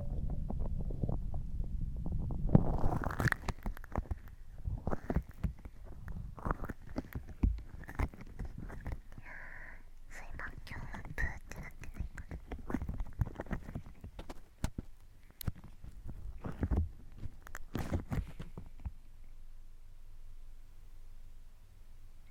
そういえば今日はプーってなってないかな。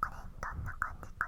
これどんな感じか？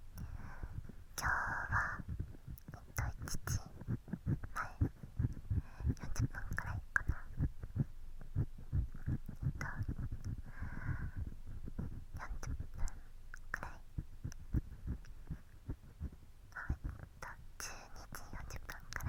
今日はえっと、1日前40分くらいかなえっと40分くらいえっと12時40分くらいあ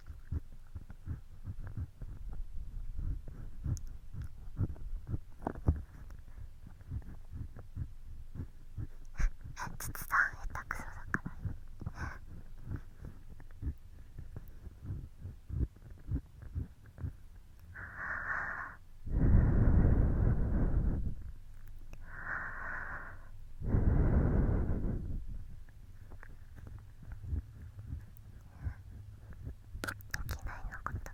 筆談下手くそだからきないのことがよく頑張ったね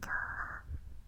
今日は。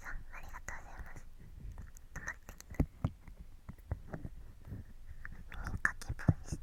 さんありがとうございます止ってきた耳かきボイスこれ高い感じじゃない耳かきボイス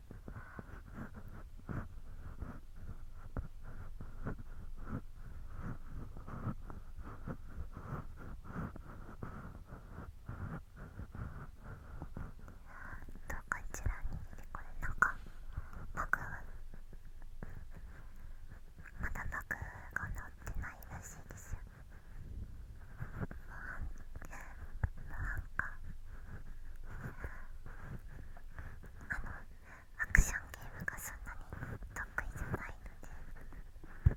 こちらに来てこれなんかバグまだバが直ってないらしいですよ。うなん、か。あ。の。アクションゲームがそんなに得意じゃないので。あ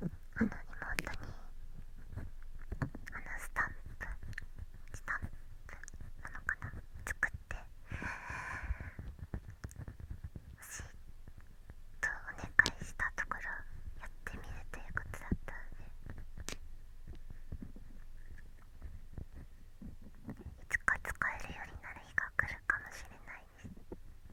あの妹にあのスタンプスタンプなのかな作ってしとお願いしたところやってみるということだったのでいつか使えるようになる日が来るかもしれないです。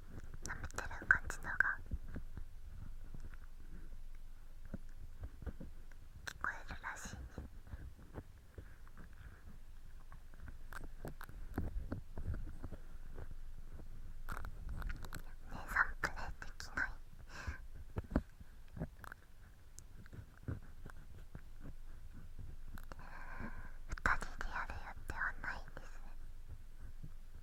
舐めてる感じのが聞こえるらしいね姉さんプレルできない二人でやる予定はないですね。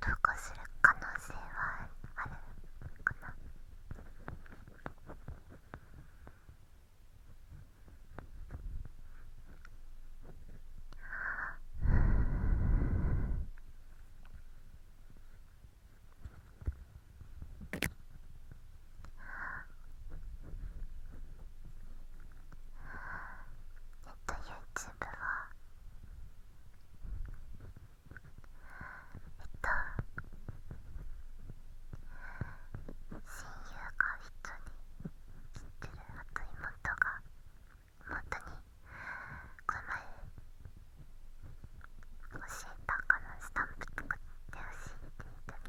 投稿する可能性はあるかなえっと YouTube は。えっと親友が一緒にってるあと妹が妹にこの前教えたかのスタンプ作ってほしいっていう時に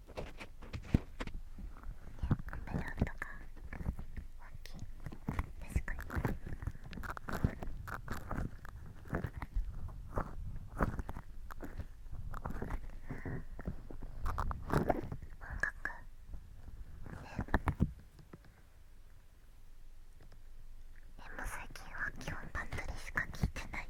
ブローとか大きい確かに音楽ねでも最近は基本バンドでしか聴いてない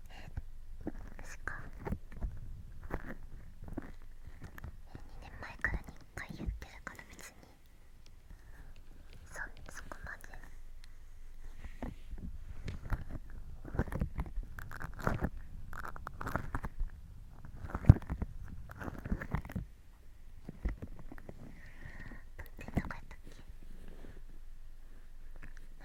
確か2年前からに1回言ってるから別にそそこまで何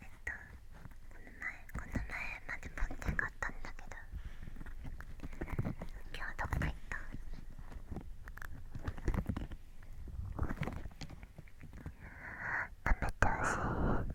えっとこの前この前まで持って買ったんだけど今日どこ行った食べてほしいあ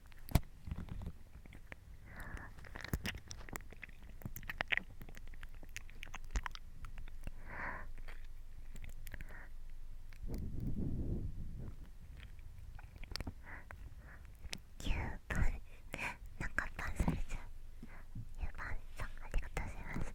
パンなんかパンされちゃうゆうパンさんありがとうございます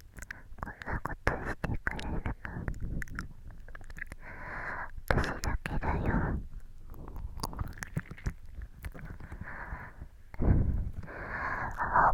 こんなことしてくれるの私だけだよあ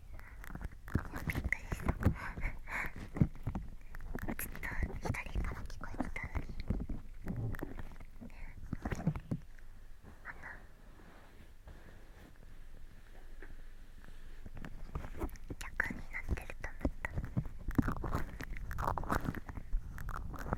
もうびっくりしたちょっと左から聞こえてたのにあんな逆になってると思った大輝って呼ばれたい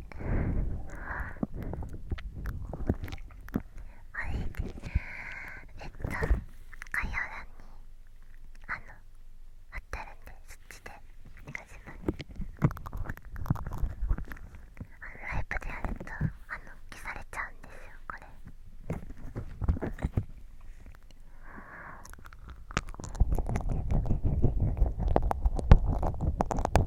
あれえっと概要欄にあの貼ってあるんでそっちでお願いしますあのライブでやるとあの消されちゃうんですよこれ。あ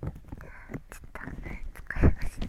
ちょっと使いましな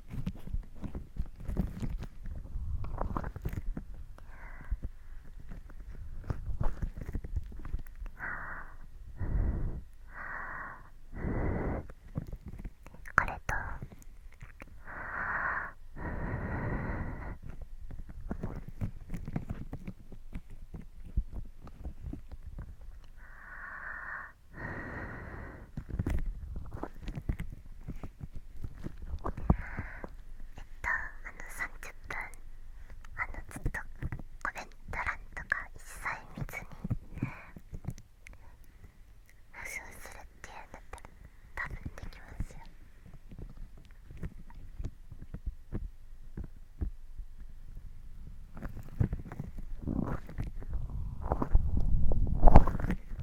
これととあの30分あのずっとコメント欄とか一切見ずに保証するっていうんだったら多分できますよ。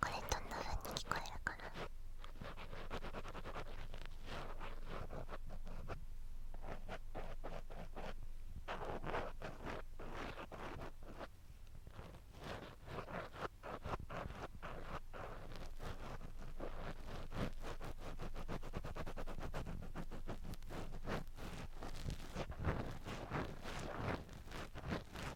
これどんな風に聞こえるかな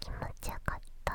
気持ちよかった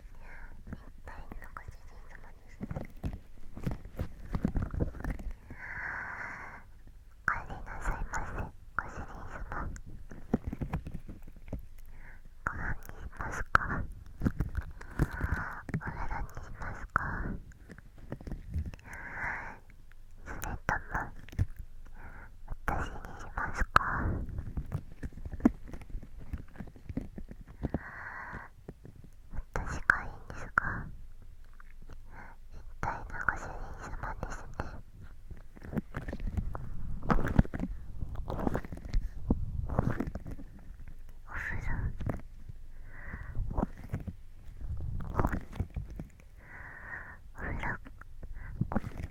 ぱいのご主人様ですお帰りなさいませご主人様ご飯にしますかお風呂にしますかそれとも私にしますか私がいいんですか一体のご主人様ですね。お風呂お風呂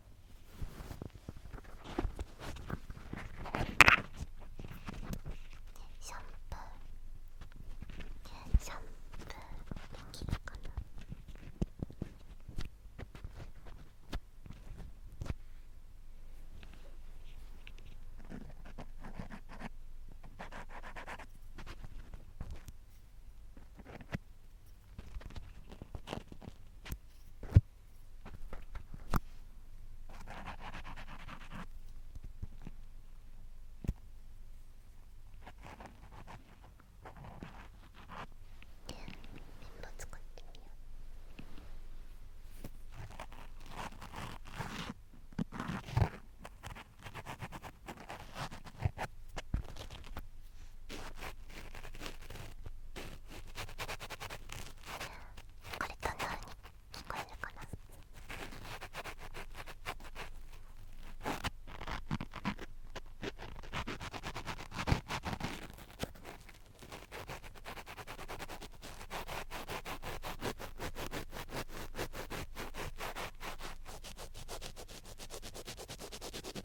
シャンプーシャンプーできるかな使ってみよう。これどんな風に聞こえるかな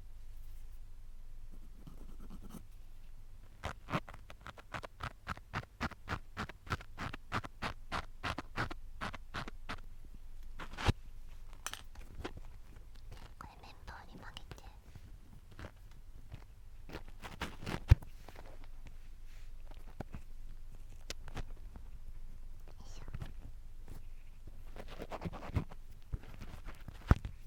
これメンバーに曲げて。よいしょ。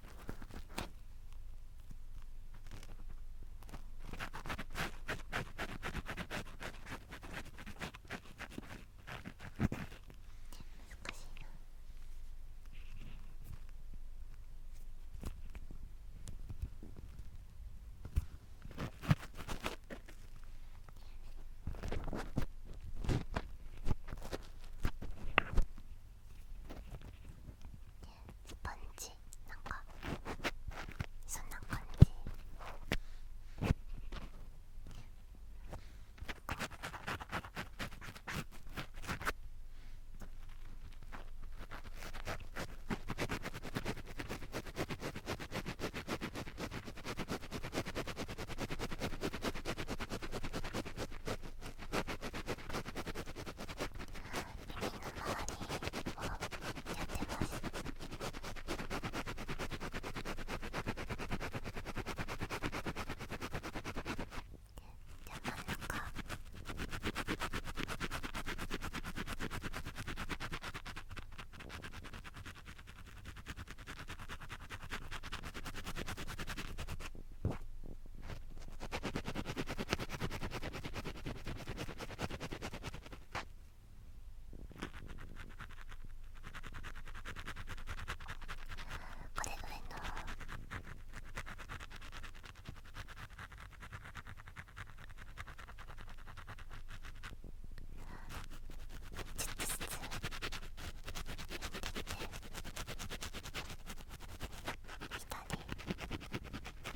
スポンジなんかそんな感じななかか。これぐらい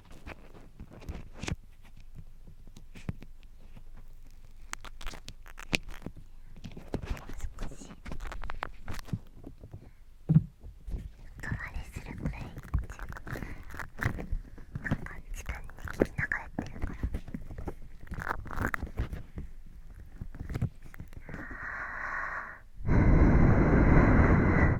もう少し代わするくらいっなんか時間に聞き流ってるから。ああ。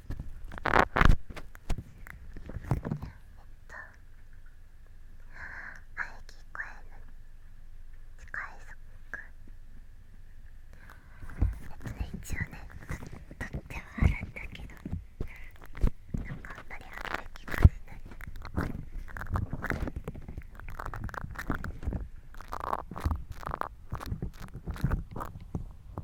えっと。こえの。近いそっか。えっとね一応ねと取ってはあるんだけどなんかあんまりあんまり聞かせない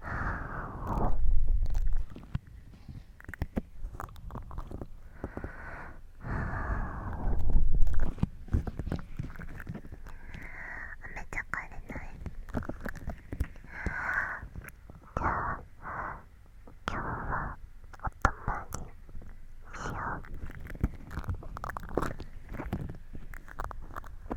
はあめちゃかれないじゃあ今日はおとまりしよう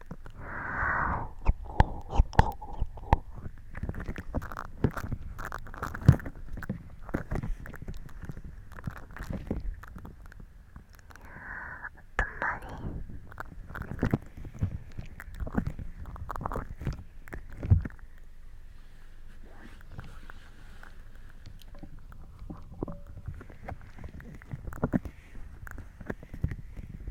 マジ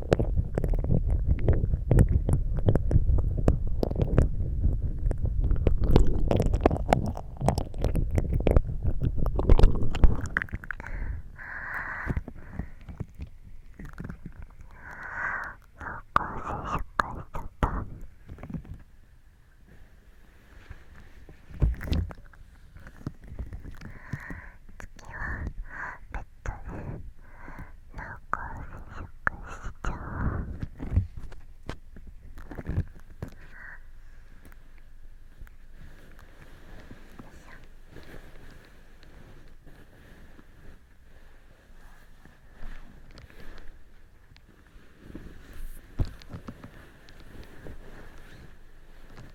月はベだったらなんか接ちゃう。よいし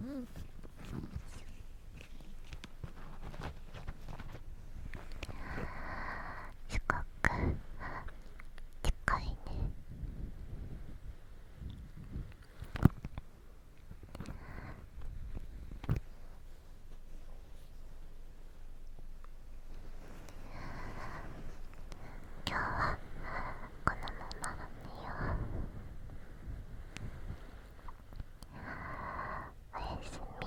うんすく近いね。今日はこのまま寝ようおやすみ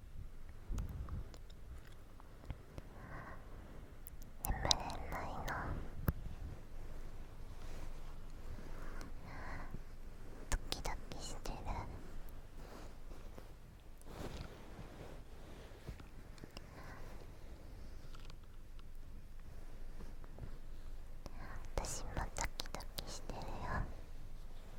眠れないの。ドキドキしてる私もドキドキしてるよ。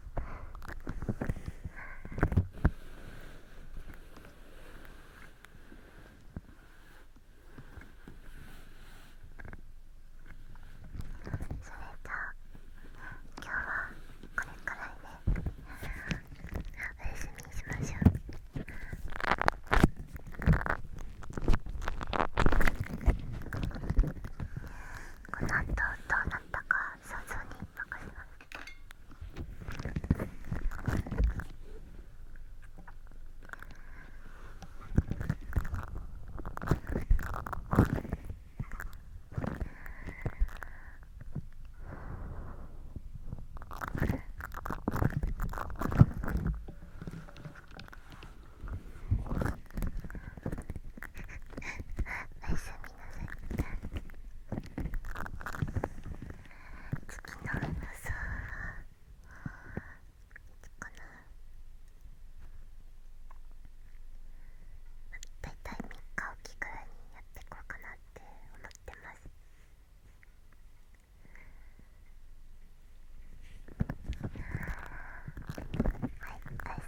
それじゃあ今日はこれくらいで、おやみしましょう。この後どうなったかは社長に任おやすみなさい次の予想。はこのだいたい3日おきぐらいにやっていこうかなって思ってますはい、大